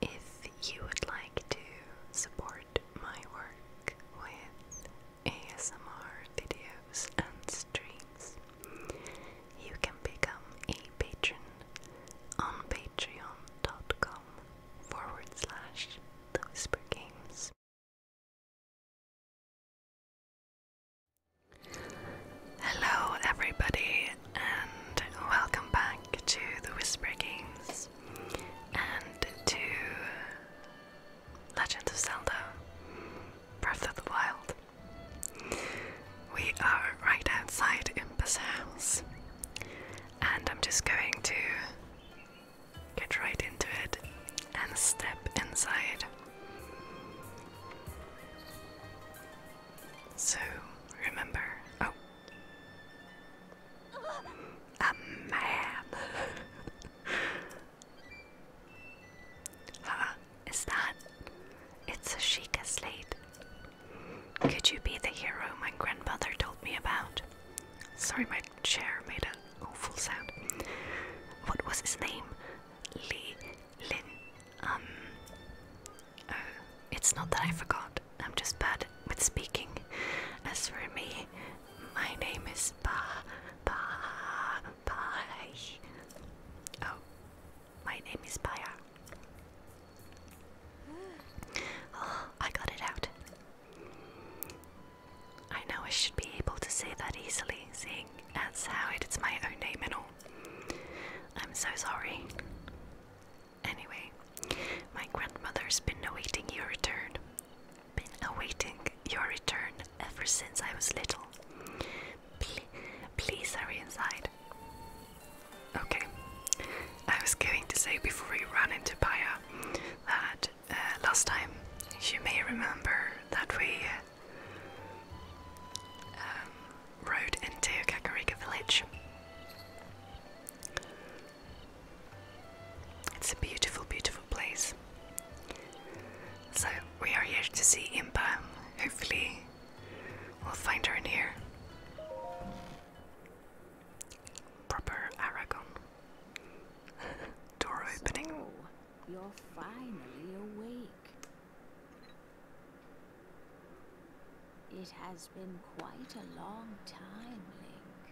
If you would like to support my work with ASMR videos and streams, you can become a patron on patreon.com forward Hello, everybody, and welcome back to the Whisper Games and to Legend of Zelda Breath of the Wild. We are right outside Impa's house, and I'm just going to Get right into it and step inside. So, remember. Oh. A man. huh? Is that? It's a Sheikah Slate. Could you be the hero my grandmother told me about? Sorry, my chair made an awful sound. What was his name? Li Lin. Um. Oh, it's not that I forgot. I'm just bad with speaking. As for me, my name is Ba Ba Ba. Oh, my name is Baya. Oh, I got it out. I know I should be able to say that easily, seeing as how it's my own name and all. I'm so sorry. Anyway, my grandmother's been awaiting your return. Been awaiting your return ever since I was little. Pl please hurry inside. Okay. I was going to say before we ran into Paya that uh, last time. You may remember that we um, rode into Kakarika Village. It's a beautiful, beautiful place. So we are here to see Imba. Hopefully, we'll find her in here. Proper Aragon. Door opening. You're finally awake. It has been quite a long time, Link.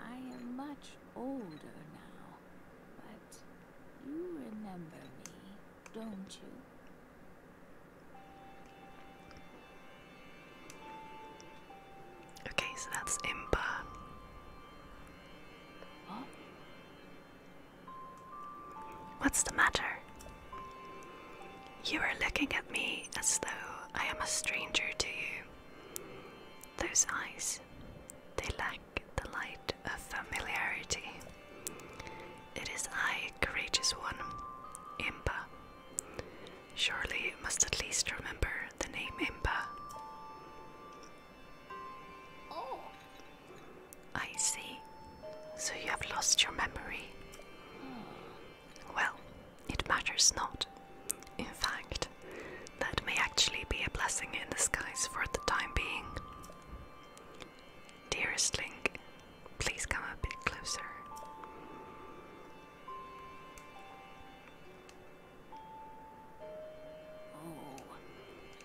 I am much older now, but you remember me, don't you? Okay, so that's Impa. What's the matter? You are looking at me as though I am a stranger to you. Those eyes, they lack the light of familiarity. It is I, courageous one, Imba. Surely you must at least remember the name Imba. Oh. I see. So you have lost your memory. Hmm. Well, it matters not. In fact, that may actually be a blessing in disguise for the time being. Dearest Link, please come a bit closer.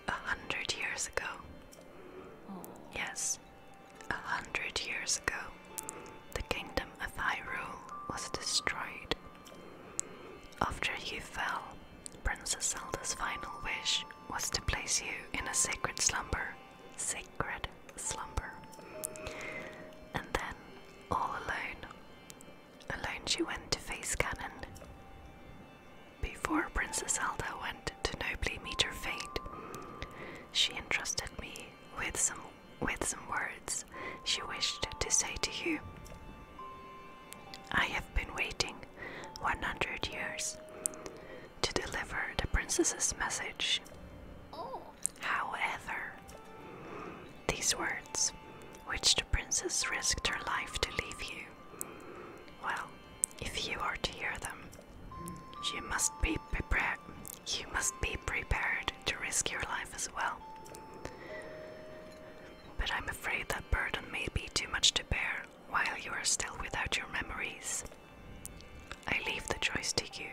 A hundred years ago. Yes, a hundred years ago, the kingdom of Hyrule was destroyed. After you fell, Princess Zelda's final wish was to place you in a sacred slumber. Sacred slumber. And then, all alone, Alone she went to face Cannon. Before Princess Zelda went to nobly meet her fate, she entrusted me with some with some words she wished to say to you. I have been waiting 100 years to deliver the princess's message. Oh. However, these words, which the princess risked her life to leave you. Well, if you are to hear them, you must be prepared. You must be prepared to risk your life as well. But I'm afraid that burden may be too much to bear while you are still without your memories. I leave the choice to you.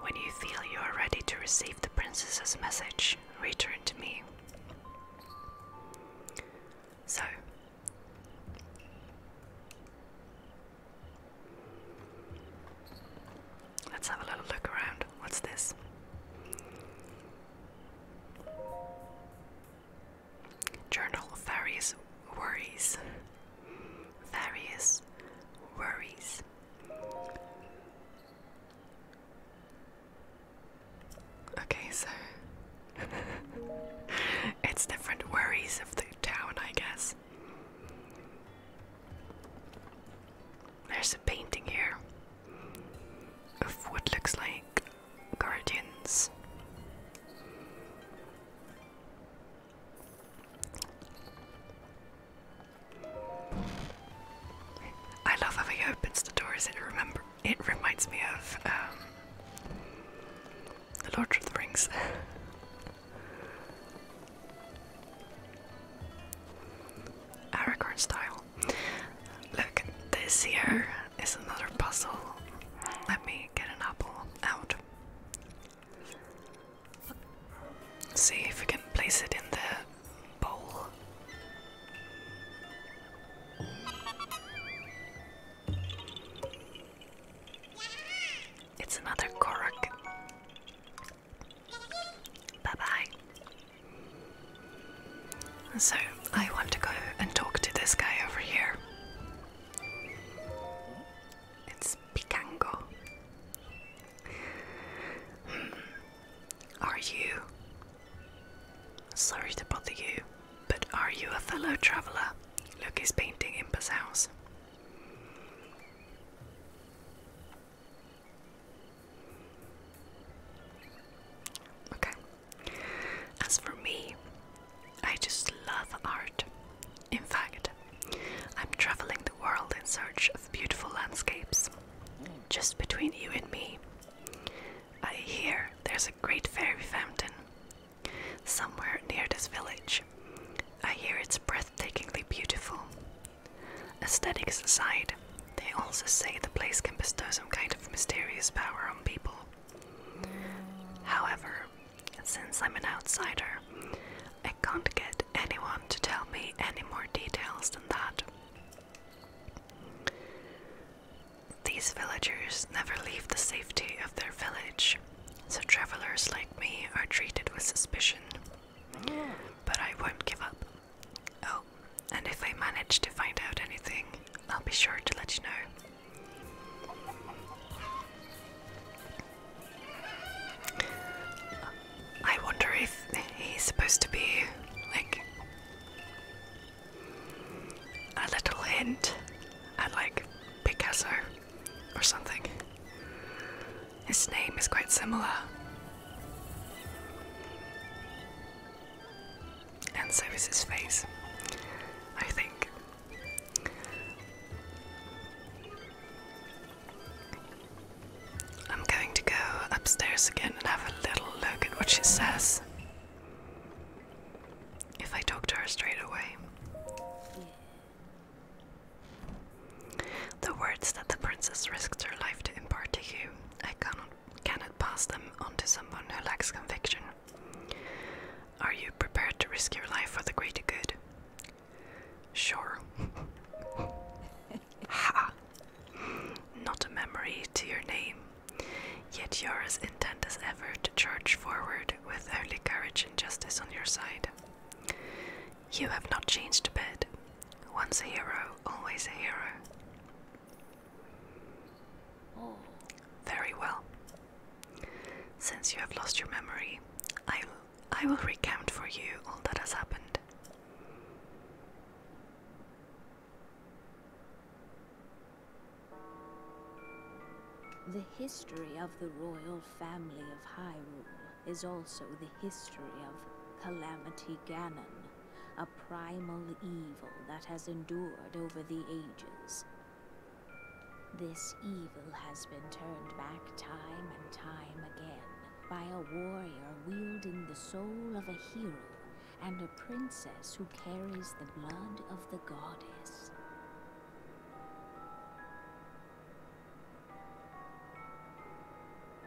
When you feel you are ready to receive the princess's message, return to me. So let's have a little look around. What's this? Journal various worries. Various worries. Okay, so it's different worries of the town, I guess. There's a painting here of what looks like guardians. I love how he opens the doors. It reminds me of um, the Lord of the Rings. Aragorn style. Look, this here is another puzzle. Let me get an apple out. See if we can place it in the it's another Korok. Bye bye. So, I want to go and talk to this guy over here. It's Picango. Hmm. Are you? Sorry to bother you, but are you a fellow traveller? Look, his painting in his house. Okay. As for me, I just love art. In fact, I'm traveling the world in search of beautiful landscapes. Just between you and me, I hear there's a great fairy fountain somewhere near this village. I hear it's breathtakingly beautiful. Aesthetics aside, they also say the place can bestow some kind of mysterious power on people. However, since I'm an outsider, I can't get anyone to tell me any more details than that. These villagers never leave the safety of their village, so travelers like me are treated with suspicion. But I won't give up. Oh, and if I manage to find out anything, I'll be sure to let you know. I wonder if he's supposed to be like a little hint at like Picasso or something. His name is quite similar. And so is his face, I think. I'm going to go upstairs again and have a little look at what she says. If I talk to her straight away. The words that the princess risked her life to impart to you, I cannot, cannot pass them on to someone who lacks conviction. Are you prepared to risk your life for the greater good? Sure. Ha! Not a memory to your name. Yet you're as intent as ever to charge forward with only courage and justice on your side. You have not changed a bit. Once a hero, always a hero. Oh. Very well. Since you have lost your memory, I I will recount for you all that has happened. The history of the royal family of Hyrule is also the history of Calamity Ganon, a primal evil that has endured over the ages. This evil has been turned back time and time again, by a warrior wielding the soul of a hero and a princess who carries the blood of the goddess.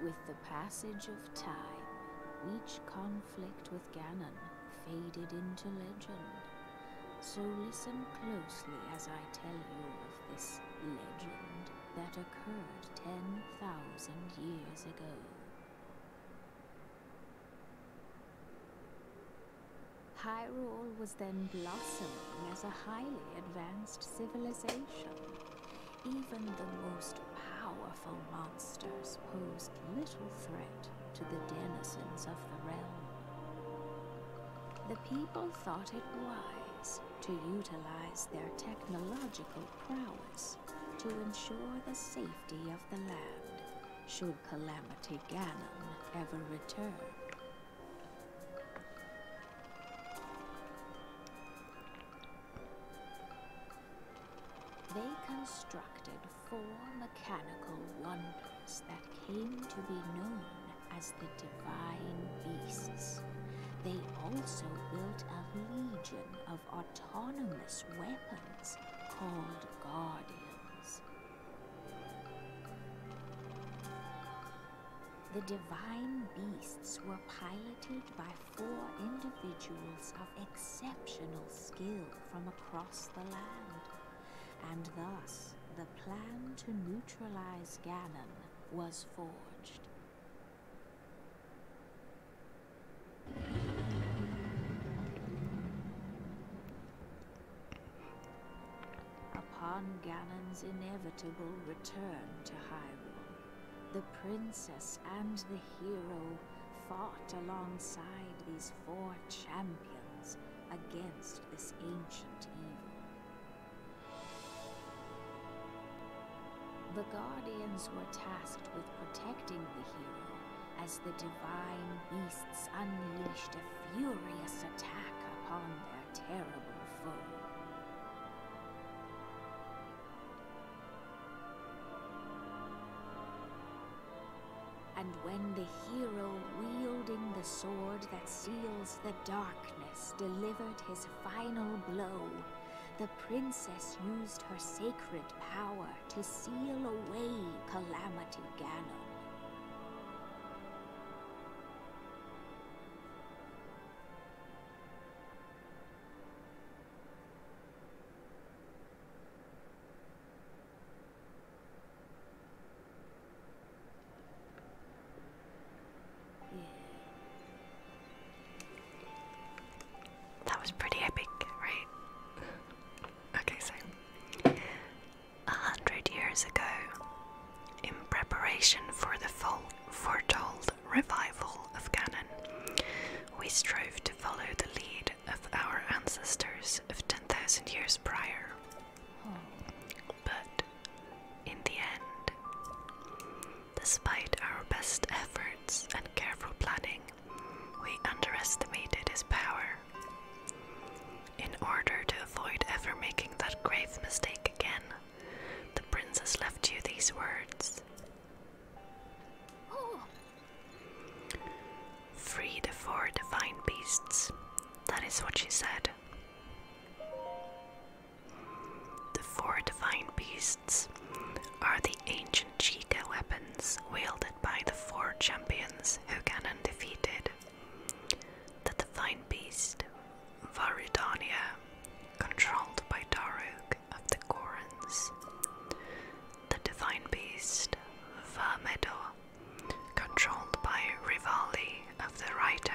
With the passage of time, each conflict with Ganon faded into legend. So listen closely as I tell you this legend that occurred 10,000 years ago. Hyrule was then blossoming as a highly advanced civilization. Even the most powerful monsters posed little threat to the denizens of the realm. The people thought it wise to utilize their technological prowess to ensure the safety of the land should Calamity Ganon ever return. They constructed four mechanical wonders that came to be known as the divine beasts. They also built a legion of autonomous weapons called Guardians. The divine beasts were piloted by four individuals of exceptional skill from across the land, and thus the plan to neutralize Ganon was forged. Upon Ganon's inevitable return to Hyrule, the princess and the hero fought alongside these four champions against this ancient evil. The Guardians were tasked with protecting the hero as the divine beasts unleashed a furious attack upon their terrible foe. And when the hero wielding the sword that seals the darkness delivered his final blow, the princess used her sacred power to seal away Calamity Ganon. That was pretty epic, right? okay, so a hundred years ago, in preparation for the foretold revival of Ganon, we strove to follow the lead of our ancestors of 10,000 years prior. Oh. But in the end, despite our best efforts and careful planning, we underestimated his power. In order to avoid ever making that grave mistake again, the princess left you these words. Free the four divine beasts. That is what she said. The four divine beasts are the ancient Chica weapons wielded by the four champions who Ganon defeated. The divine beast, Varudania, controlled by Daruk of the Gorans. The divine beast, Vermedo, controlled by Rivali of the Rito.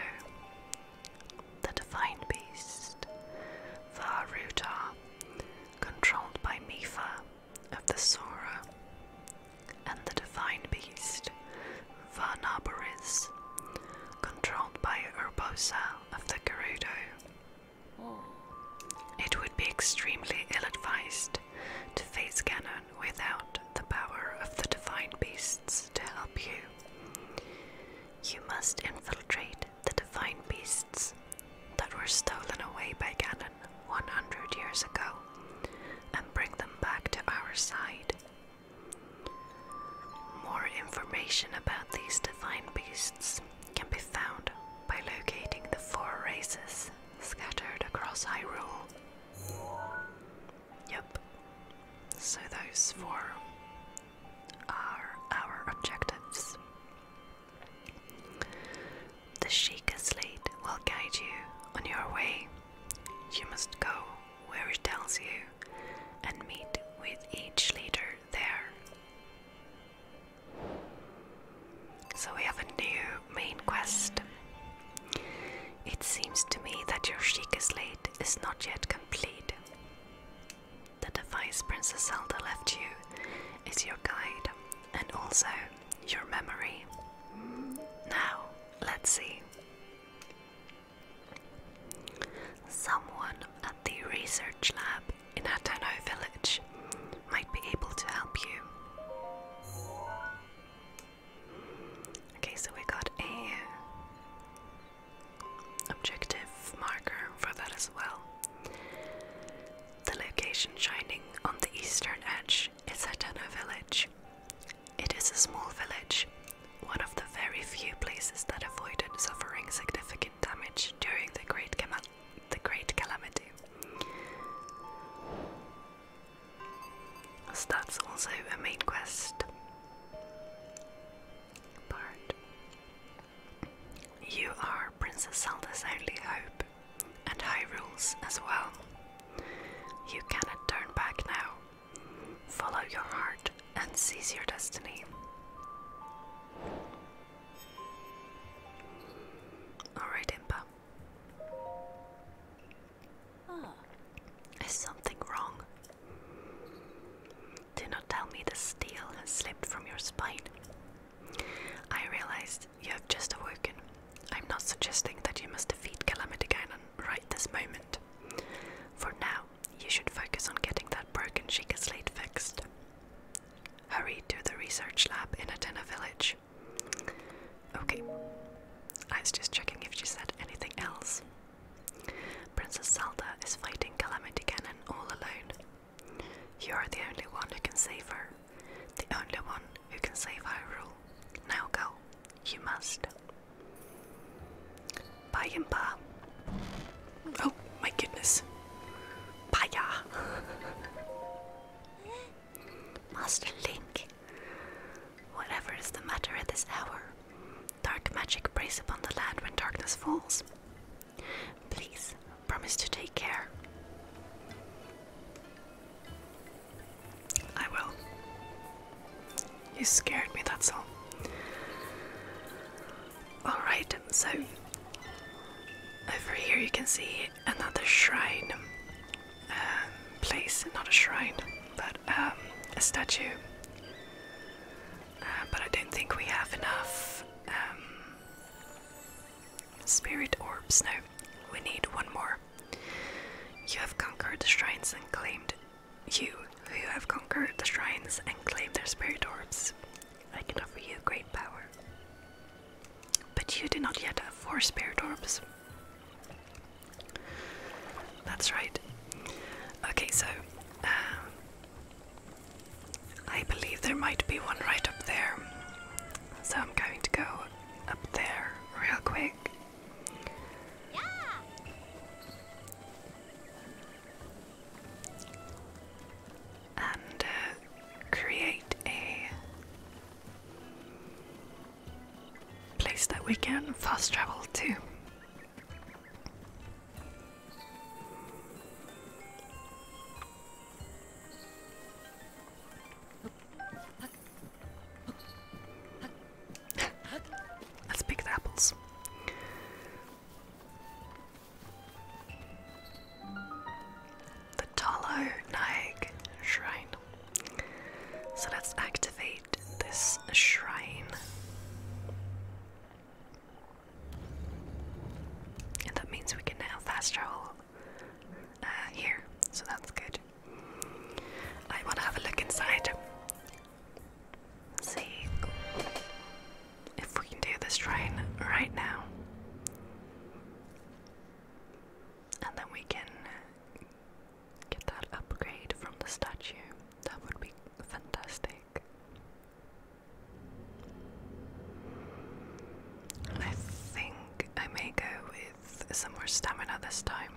The Divine Beast, Varuta, controlled by Mifa of the Sora, and the Divine Beast, Varnaboris, controlled by Urbosa of the Garudo. It would be extremely ill advised to face Ganon without the power of the Divine Beasts to help you. You must infiltrate the divine beasts that were stolen away by Ganon 100 years ago and bring them back to our side. More information about these divine beasts can be found by locating the four races scattered across Hyrule. Yep, so, those four are our objectives. The Sheikah's lead will guide you on your way. You must go where it tells you and meet with each leader there. So, we have a new main quest. It seems to me that your Sheikah slate is not yet complete. The device Princess Zelda left you is your guide and also your memory. Now, let's see. Someone at the research lab in Hatano Village might be able to help you. Okay, so we got a objective marker for that as well. The location shining on the eastern edge is Hateno village. It is a small village, one of the very few places that avoided suffering significant damage during the Great, Calamity. that's also a main quest. You are Princess Zelda's only hope, and Hyrule's as well. You cannot turn back now. Follow your heart and seize your destiny. Alright, Impa. Ah. Is something wrong? Do not tell me the steel has slipped from your spine. I realized you have just awoken. I'm not suggesting that you must defeat Calamity Ganon right this moment. For now, you should focus on getting that broken Sheikah slate fixed. Hurry to the research lab in Atena Village. Okay. I was just checking if she said anything else. Princess Zelda is fighting Calamity Ganon all alone. You are the only one who can save her, the only one who can save Hyrule. Now go, you must. Bayimba. Oh my goodness. Baya. Master Link, Whatever is the matter at this hour, dark magic preys upon the land when darkness falls. Please promise to take care. I will. You scared me, that's all. Alright, so over here you can see another shrine um, place, not a shrine but um, a statue. Uh, but I don't think we have enough um, spirit orbs now. We need one more. You have conquered the shrines and claimed. You who have conquered the shrines and claimed their spirit orbs. I can offer you great power. But you do not yet have four spirit orbs. That's right. Okay, so um, I believe there might be one right up there. So I'm going to go up there real quick. Yeah. And uh, create a place that we can fast travel to. Let's pick the apples. The Talo Naik Shrine. So let's activate this shrine. And that means we can now fast travel uh, here, so that's good. I want to have a look inside. See if we can do this shrine right now. And then we can get that upgrade from the statue. That would be fantastic. I think I may go with some more stamina this time.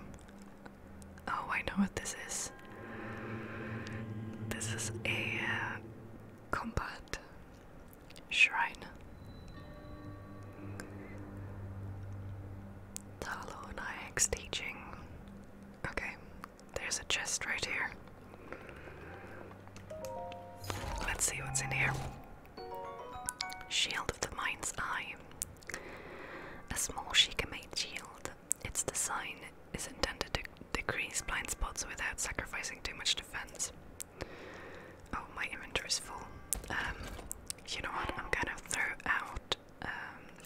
Oh, I know what this is. This is a uh, combat shrine. Talo and Ix teaching. Okay, there's a chest right here. Let's see what's in here. Shield of the Mind's Eye. A small Sheikah made shield. Its design is intended to decrease blind spots without sacrificing too much defense. Oh, my inventory is full. Um, you know what? I'm gonna throw out um,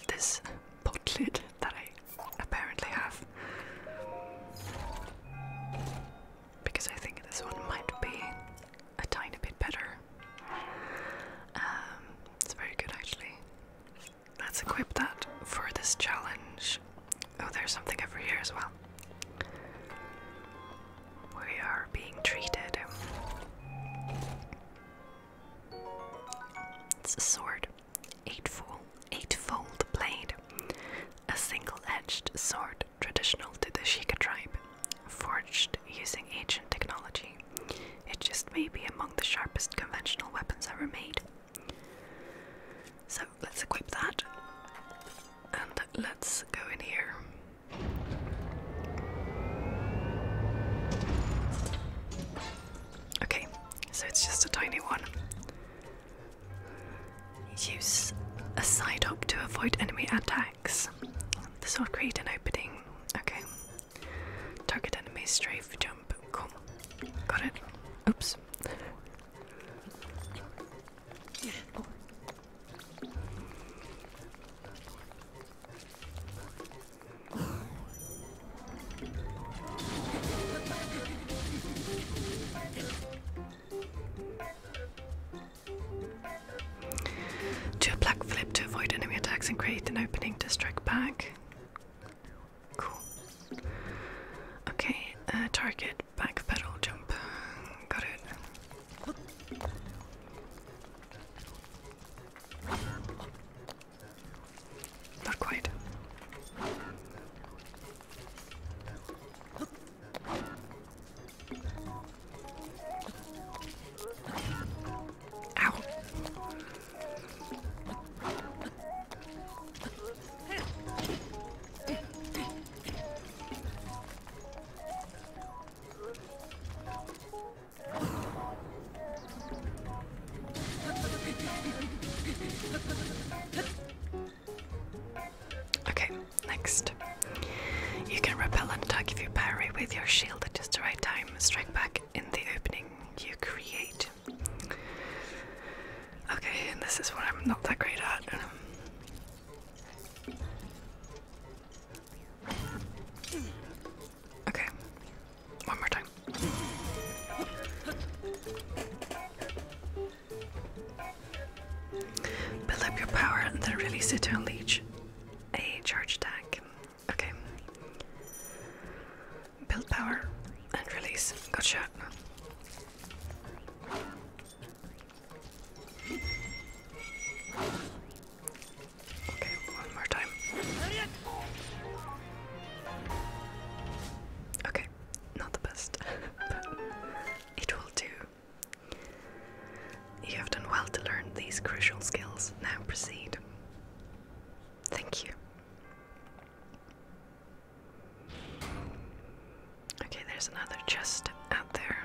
this pot lid that I apparently have. Because I think this one might be a tiny bit better. Um, it's very good actually. Let's equip that for this challenge. Oh, there's something over here as well. We are being treated. It's a sword, eightfold, eightfold blade, a single-edged sword traditional to the Shika tribe, forged using ancient technology. It just may be among the sharpest conventional weapons ever made. So let's equip that, and let's go in here. Okay, so it's just a tiny one. Use a side hop to avoid enemy attacks. This will create an opening. Okay. Target enemy, strafe, jump. Cool. Got it. Oops. Oh. Do a black flip to avoid enemy attacks and create an opening to strike back. Cool. Okay, uh, target, back pedal, jump. Got it. Not quite. Ow. Okay, next. You can repel and attack if you parry with your shield at just the right time. Strike back in the opening you create. Okay, and this is what I'm not that great at. Okay. One more time. Build up your power and then release it to unleash a charge attack. Okay. Build power and release. Good shot. Okay, one more time. Okay, not the best, but it will do. You have done well to learn these crucial skills. Now proceed. Thank you. Okay, there's another chest out there.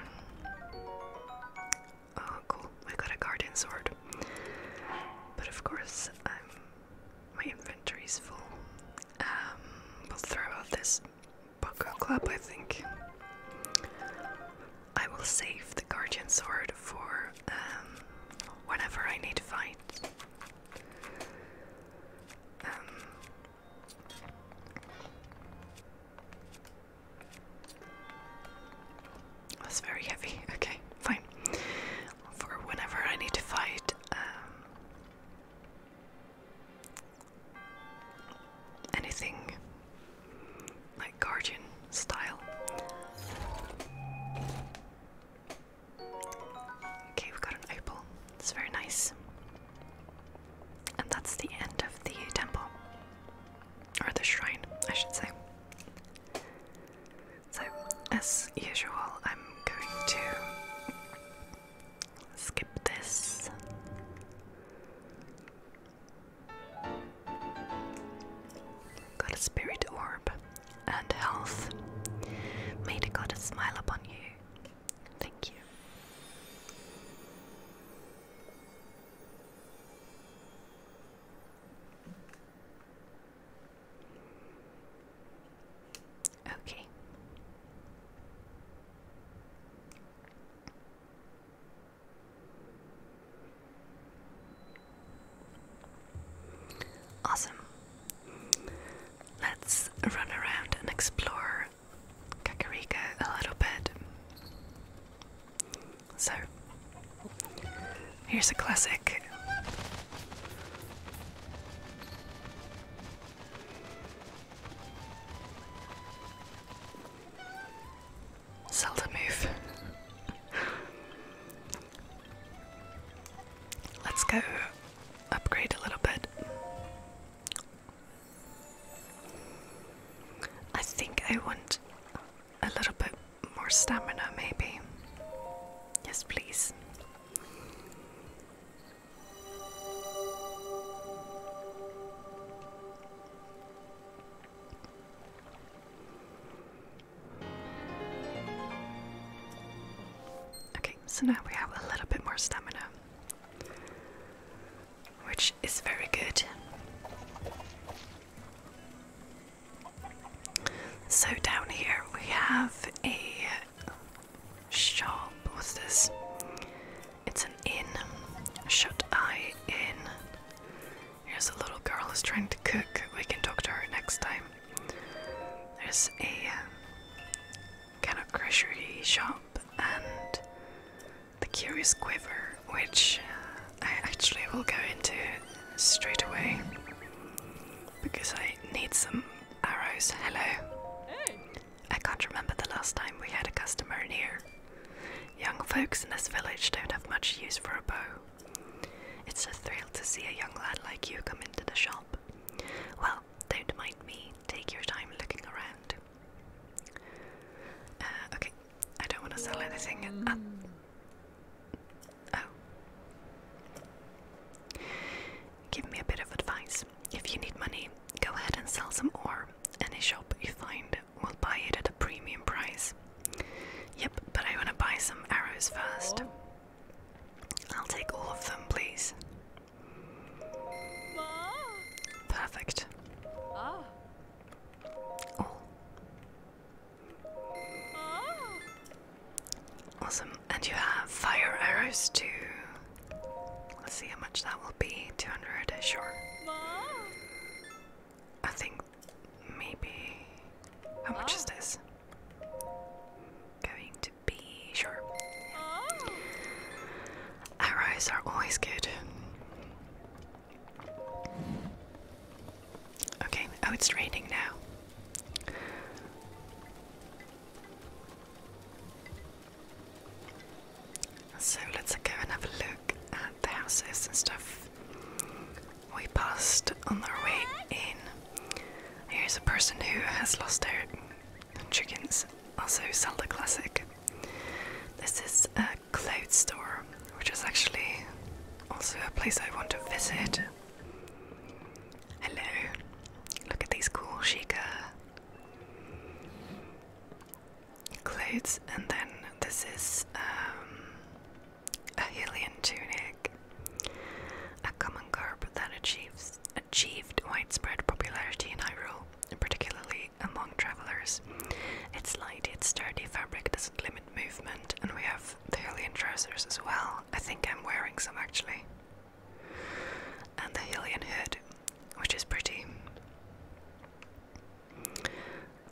Oh, cool. I got a garden sword. But of course, um, my inventory is full. we'll throw out this Bucko Club, I think. I will save the Guardian Sword for um, whenever I need to fight. That's very heavy. Okay, fine. For whenever I need to fight, um, anything like guardian style. Okay, we've got an opal. It's very nice. And that's the end of the temple or the shrine, I should say. So, as usual, I'm going to skip this. Got a spirit orb and health. May the God smile upon you. Thank you. Okay. Awesome. Let's run around and explore Kakarika a little bit. So, here's a classic. Zelda move. Let's go upgrade a little bit. I think I want a little bit more stamina, maybe. Yes, please. Okay, so now we have a little bit more stamina which is very good. So down here we have a shop. What's this? It's an inn. Shut eye inn. Here's a little girl who's trying to cook. We can talk to her next time. There's a um, kind of grocery shop and the Curious Quiver, which uh, I actually will go into straight away because I need some arrows. Hello. Hey. I can't remember the last time we had a customer in here. Young folks in this village don't have much use for a bow. It's a thrill to see a young lad like you come into the shop. Well, don't mind me. Take your time looking around. Uh, okay, I don't want to sell anything mm. Oh. Give me a bit of advice. If you need money, go ahead and sell some ore. Any shop you find will buy it at a premium price. Yep, but I want to buy some arrows first. Oh. I'll take all of them, please. Perfect. Ah. Oh. Awesome. And you have fire arrows too. Let's see how much that will be. 200, sure. I think maybe. How much is this? Going to be. Sure. Our eyes are always good. Okay, oh, it's raining now. So let's go and have a look at the houses and stuff we passed on our way in. Here's a person who has lost their chickens, also sell the classic. This is a Clothes Store, which is actually also a place I want to visit. Hello, look at these cool Sheikah clothes, and then this is um, a Hylian tunic, a common garb that achieves achieved widespread popularity in Hyrule particularly among travelers. Its light Its sturdy fabric doesn't limit movement, and we have Thalian trousers as well. I think I'm wearing some actually. And the Hillian hood, which is pretty.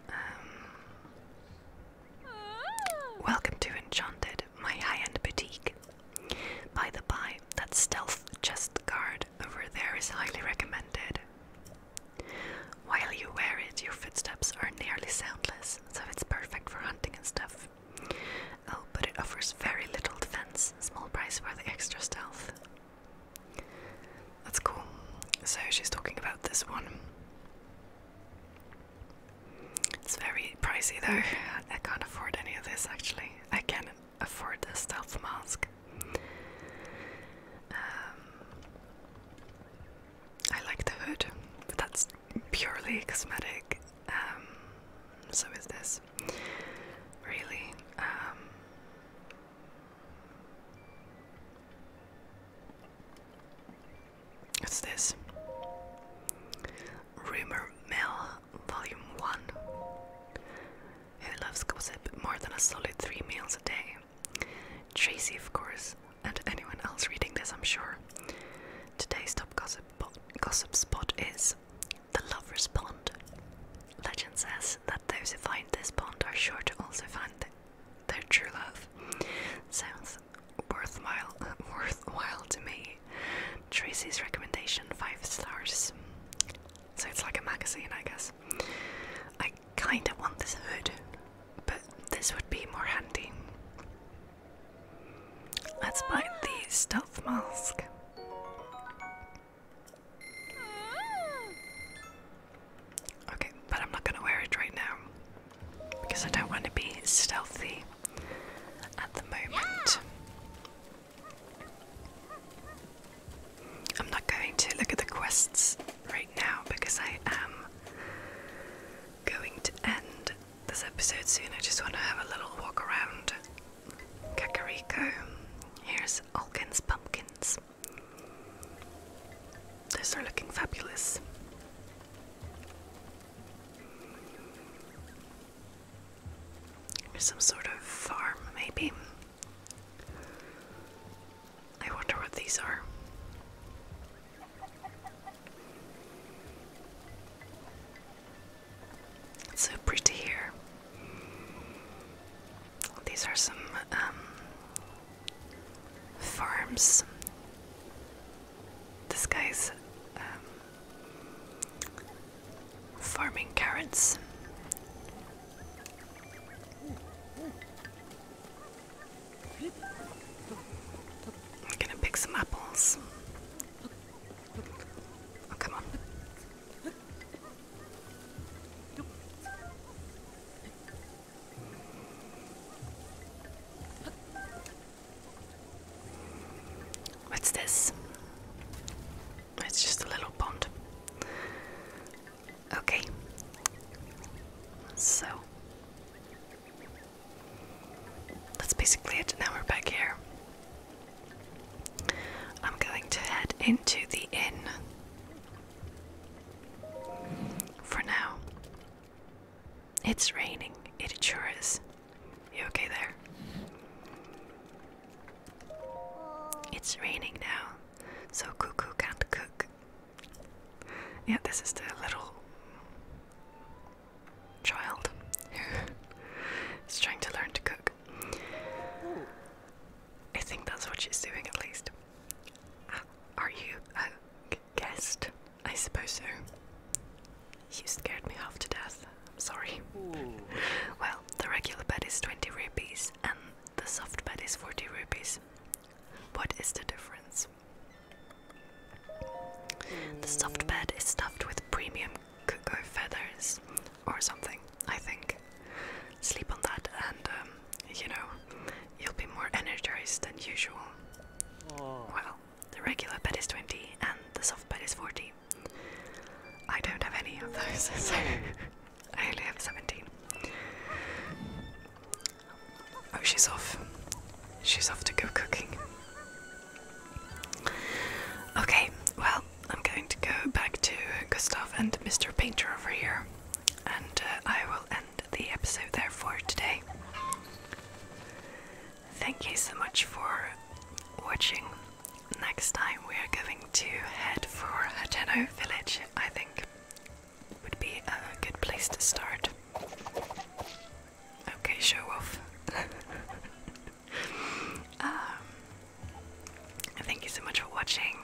Um, welcome to Enchanted, my high end boutique. By the by, that stealth chest guard over there is highly recommended. While you wear it, your footsteps are nearly soundless, so it's perfect for hunting and stuff. Oh, but it offers very little defense, small price for the extra stealth. That's cool. So she's talking about this one. It's very pricey though. I can't afford any of this actually. I can afford a stealth mask. Um, I like the hood, that's purely cosmetic. Um, so is this really? Um, what's this? Rumor Mill Volume 1 who loves gossip more than a solid three meals a day. Tracy, of course, and anyone else reading this, I'm sure. Today's top gossip, spot is the Lover's Pond. Legend says that those who find this pond are sure to also find their true love. Sounds worthwhile, worthwhile to me. Tracy's recommendation: five stars so it's like a magazine, I guess. I kind of want this hood, but this would be more handy. Let's buy the stealth mask. Okay, but I'm not gonna wear it right now because I don't want to be stealthy at the moment. I'm not going to look at the quests right now because I am going to end this episode soon. I just want to have a little walk around Kakariko. Here's Alkin's pumpkins. Those are looking fabulous. Some sort of farm, maybe. I wonder what these are. It's so pretty here. These are some um, farms. This guy's um, farming carrots. I'm gonna pick some apples. Oh, come on. What's this? It's just a little pond. Okay. So. That's basically it. Now we're back here. I'm going to head into the inn. For now. It's raining. It sure is. You okay there? It's raining now, so Cuckoo can't cook. Yeah, this is the little child who's trying to learn to cook. I think that's what she's doing at least. Uh, are you a guest? I suppose so. You scared me half to death. I'm sorry. well, the regular bed is 20 rupees and the soft bed is 40 rupees. What is the difference? The soft bed is stuffed with premium cuckoo feathers or something, I think. Sleep on that and, um, you know, you'll be more energized than usual. Well, the regular bed is 20 and the soft bed is 40. I don't have any of those, so I only have 17. Oh, she's off. She's off to go cooking. Okay, well, I'm going to go back to Gustav and Mr. Painter over here, and uh, I will end the episode there for today. Thank you so much for watching. Next time we are going to head for Hajeno village, I think. Would be a good place to start. Okay, show off. Um, thank you so much for watching.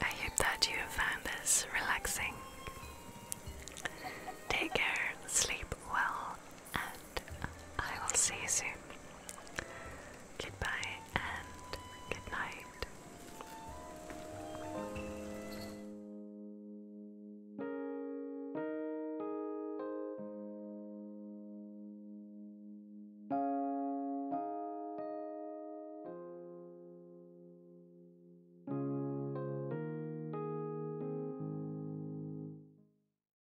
I hope that you found this relaxing. Take care, sleep well, and uh, I will see you soon. Goodbye and good night.